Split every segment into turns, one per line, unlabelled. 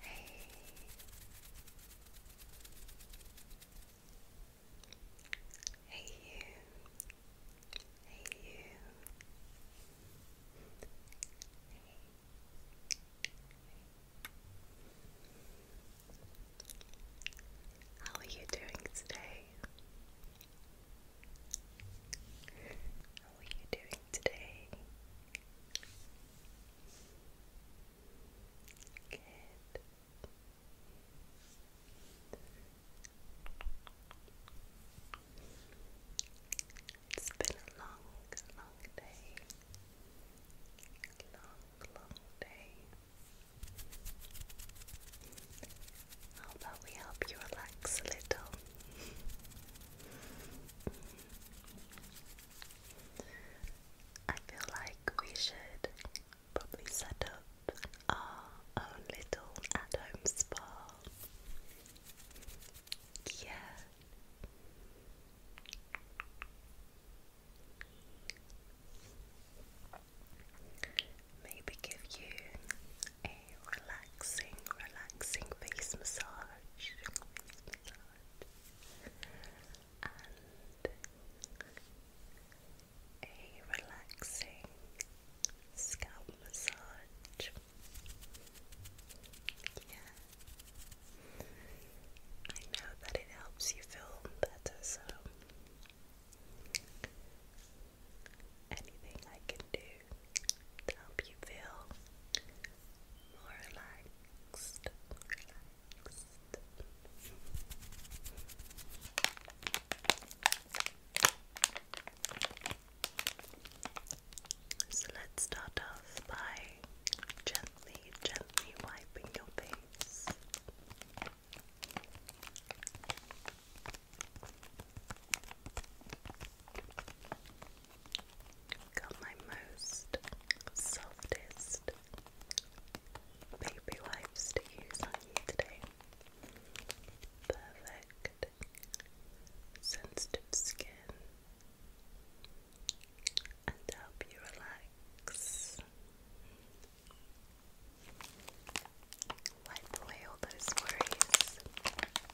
Hey. Hey you. Hey you. Hey. How are you doing today? are you doing today? It's been a long, long day. Long, long day. How about we help you relax a little? I feel like we should probably set up our own little at home spa. Yeah. Maybe give you relaxing, relaxing face massage. And a relaxing scalp massage. I know that it helps you feel better, so anything I can do to help you feel more relaxed, So let's start off by gently, gently wiping your face got my most softest baby wipes to use on you today. Perfect sensitive skin and help you relax. Wipe away all those worries.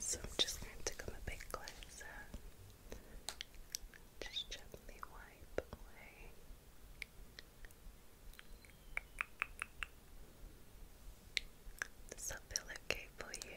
So I'm just going to come a bit closer. Just gently wipe away. Does that feel okay for you?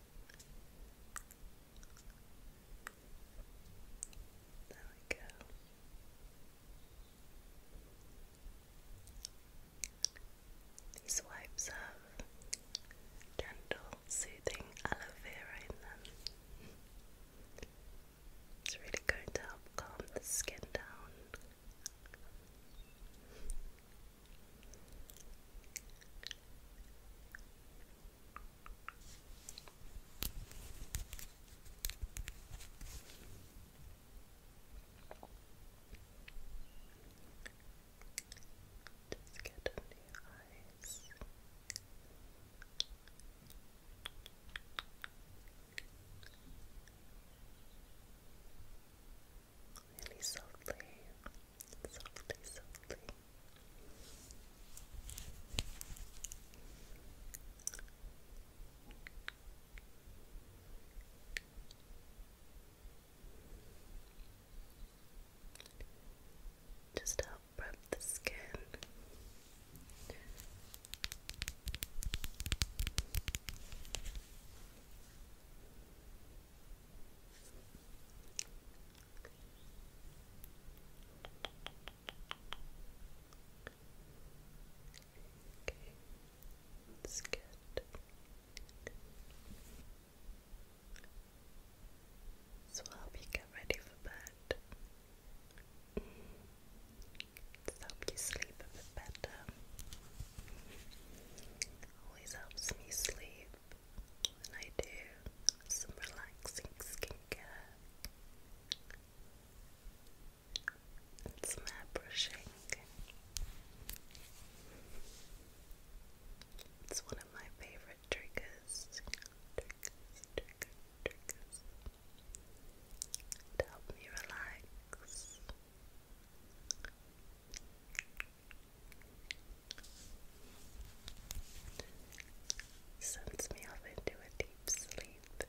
There we go. These wipes have gentle, soothing aloe vera in them. It's really going to help calm the skin down. Just get under your eyes. Really softly, softly, softly. Just help prep the skin. Okay, good. So will help you get ready for bed. Just help you sleep a bit better. Always helps me sleep. I do some relaxing skincare and some hair brushing. It's one of my favourite triggers. To help me relax. Sends me off into a deep sleep. Deep,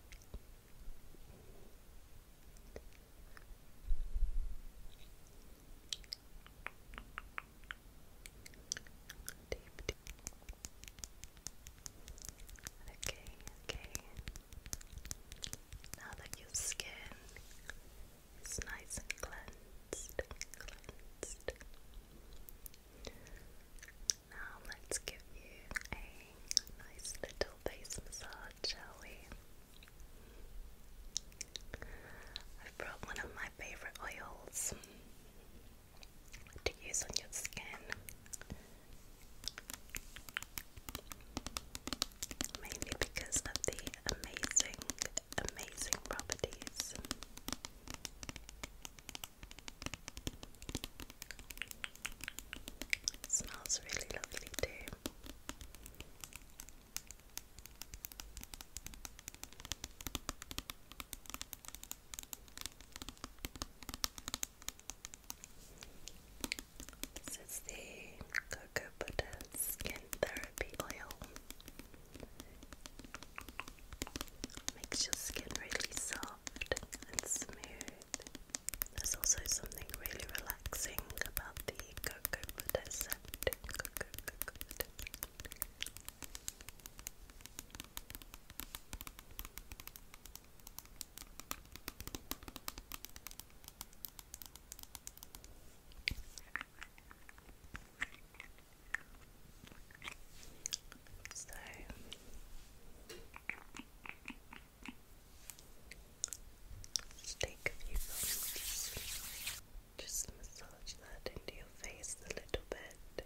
Okay, okay. Now that your skin it's nice and cleansed, cleansed. Now let's give you a nice little face massage, shall we? i brought one of my favourite oils to use on your skin. Mainly because of the amazing, amazing properties. smells really lovely too. This is the cocoa butter skin therapy therapy oil. Makes your skin really soft and smooth. There's also something really relaxing about the cocoa butter scent. So just take a few moments. Just massage that into your face a little bit.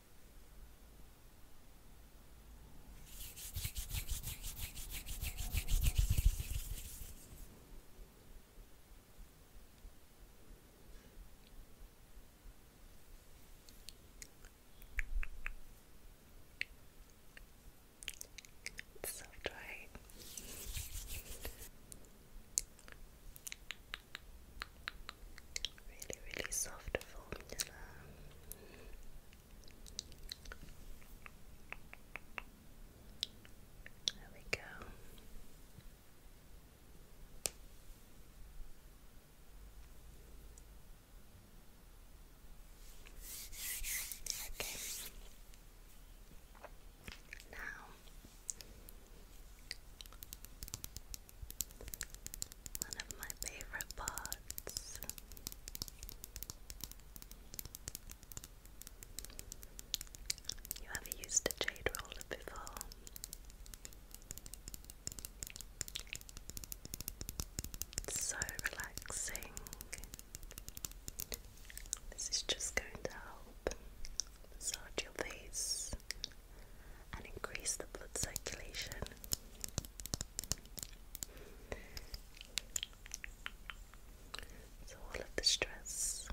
It's soft, right? Really, really soft formula. There we go. Okay. Now one of my favorite parts. You ever used a jade roller before? so relaxing. This is just going to help massage your face and increase the blood circulation. So, all of the stress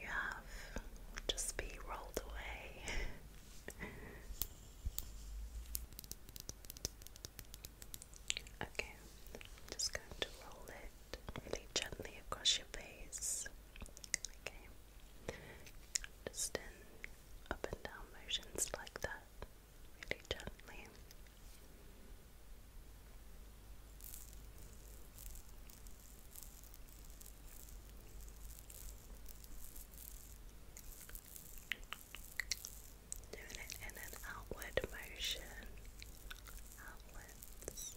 you have just be rolled away. okay, just going to roll it really gently across your face. Okay. Just in up and down motions like that, really gently. Doing it in an outward motion, outwards.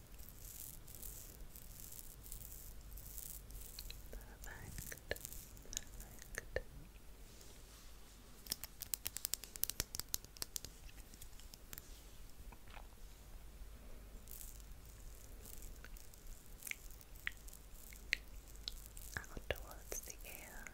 Perfect. Perfect. Out towards the ear.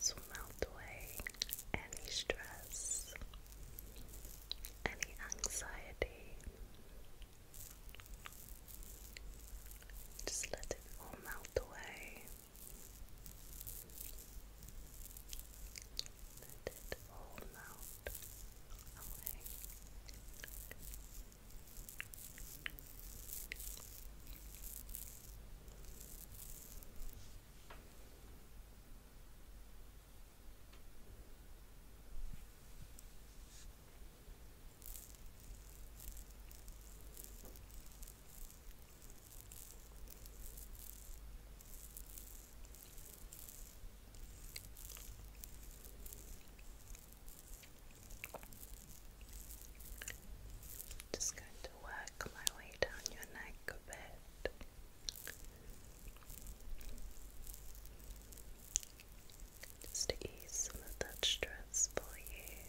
So melt away any stress, any anxiety. Just let it all melt away. Let it all melt away. Just going to work my way down your neck think of it. Just to ease some of that stress for you.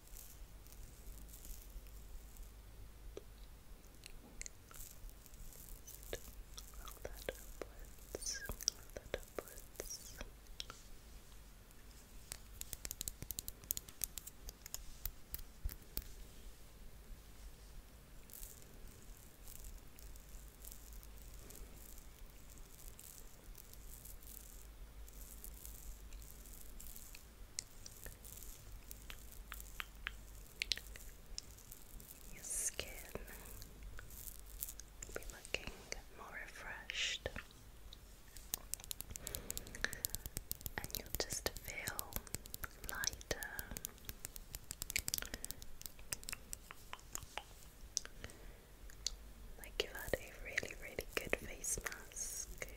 Roll that upwards. that upwards. Your skin will be looking more refreshed, and you'll just feel lighter. Like you had a really, really good face mask.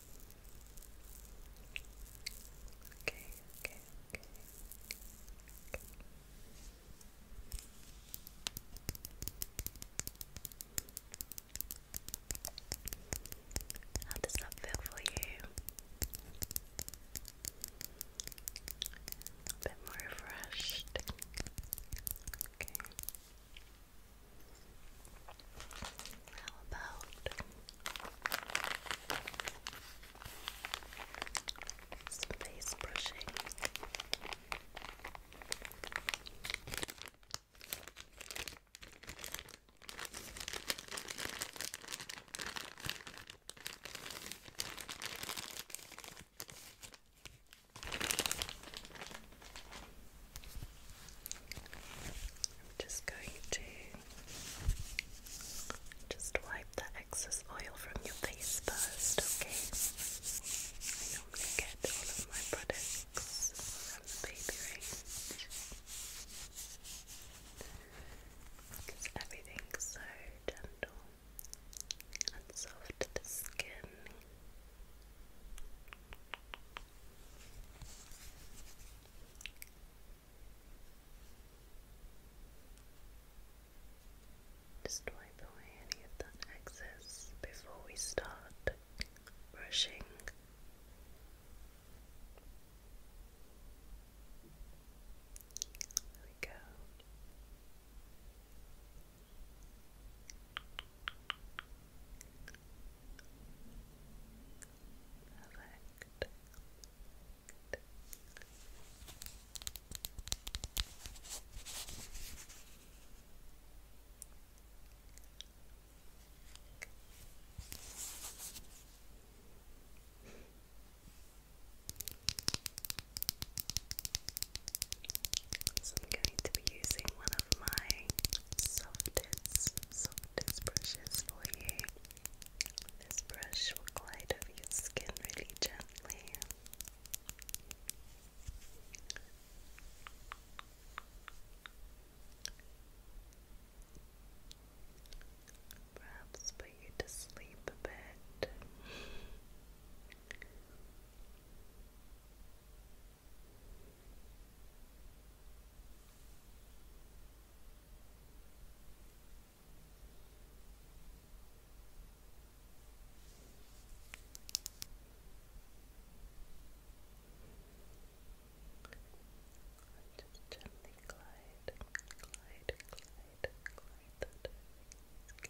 Okay, How does that feel for you? A bit more refreshed. Okay. How about face brushing. I'm just going to just wipe the excess oil from your face first, okay? I normally get all of my products from baby range everything's so gentle and soft to the skin. Just wipe away any of that excess before we start brushing. There we go. Perfect. I'm going to be using one of my softest, softest brushes for you. This brush will glide over your skin really gently. Perhaps put you to sleep a bit. Just gently glide, glide, glide, glide that skin. Good.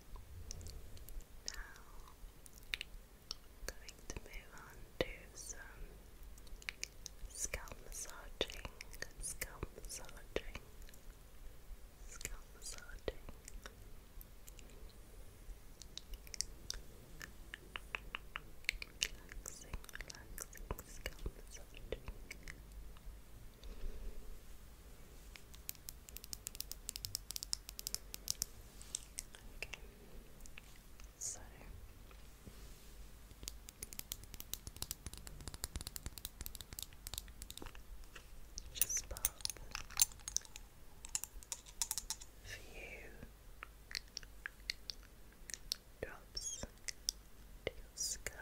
Now, i going to move on to some scalp massaging, scalp massaging, scalp massaging. Relaxing, relaxing, scalp massaging. Okay. So just pop few drops to your scalp.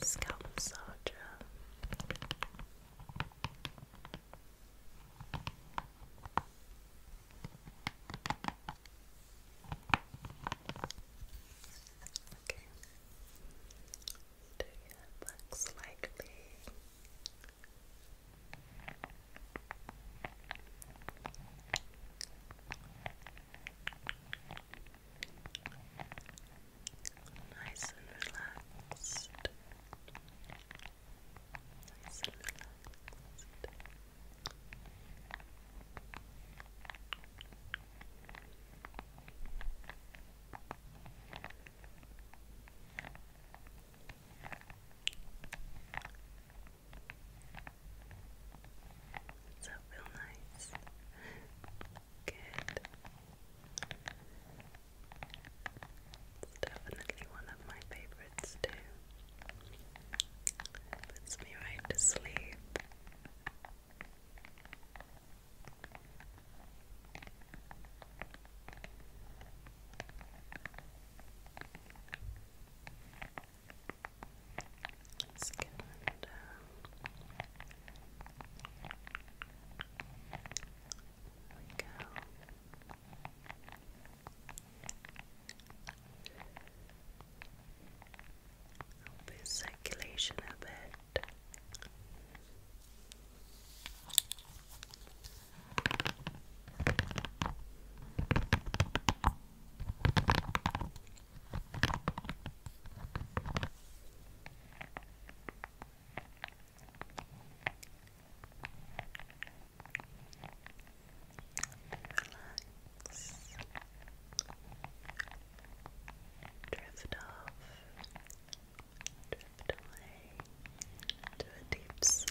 Scalp massager. Okay. Do your head slightly. Nice and relaxed. Nice and relaxed. Does that nice? Good. definitely one of my favorites too. Puts me right to sleep. Let's get on down. There we go. Open circulation a bit. Relax. Drift off. Drift away to a deep sleep.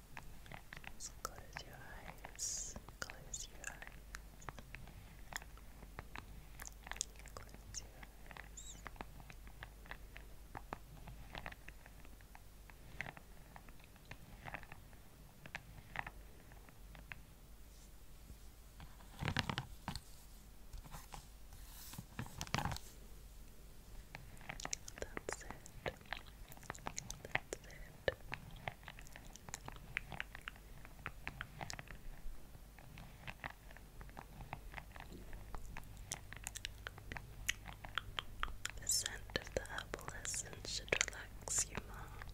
close your eyes. Close your eyes. Close your eyes. That's it. That's it. The scent of the herbal essence should relax you more.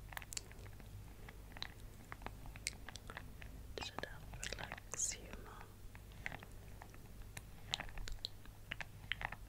Should help relax you more.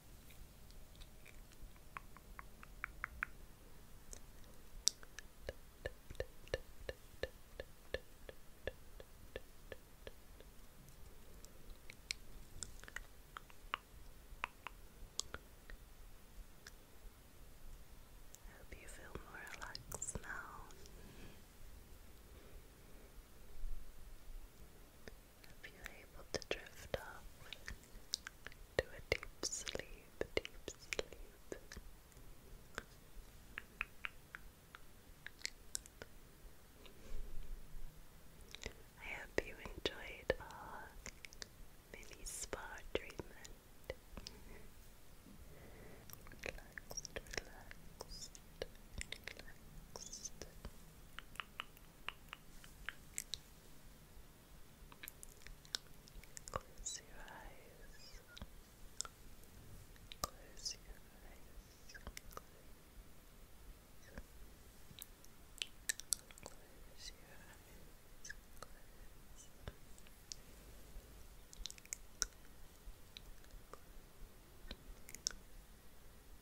I hope you feel more relaxed now if you're able to drift off to a deep sleep, deep sleep. I hope you enjoyed our mini spa treatment. relaxed, relaxed, relaxed. Close your eyes. Close your eyes. Close your eyes. Close. Close. Close.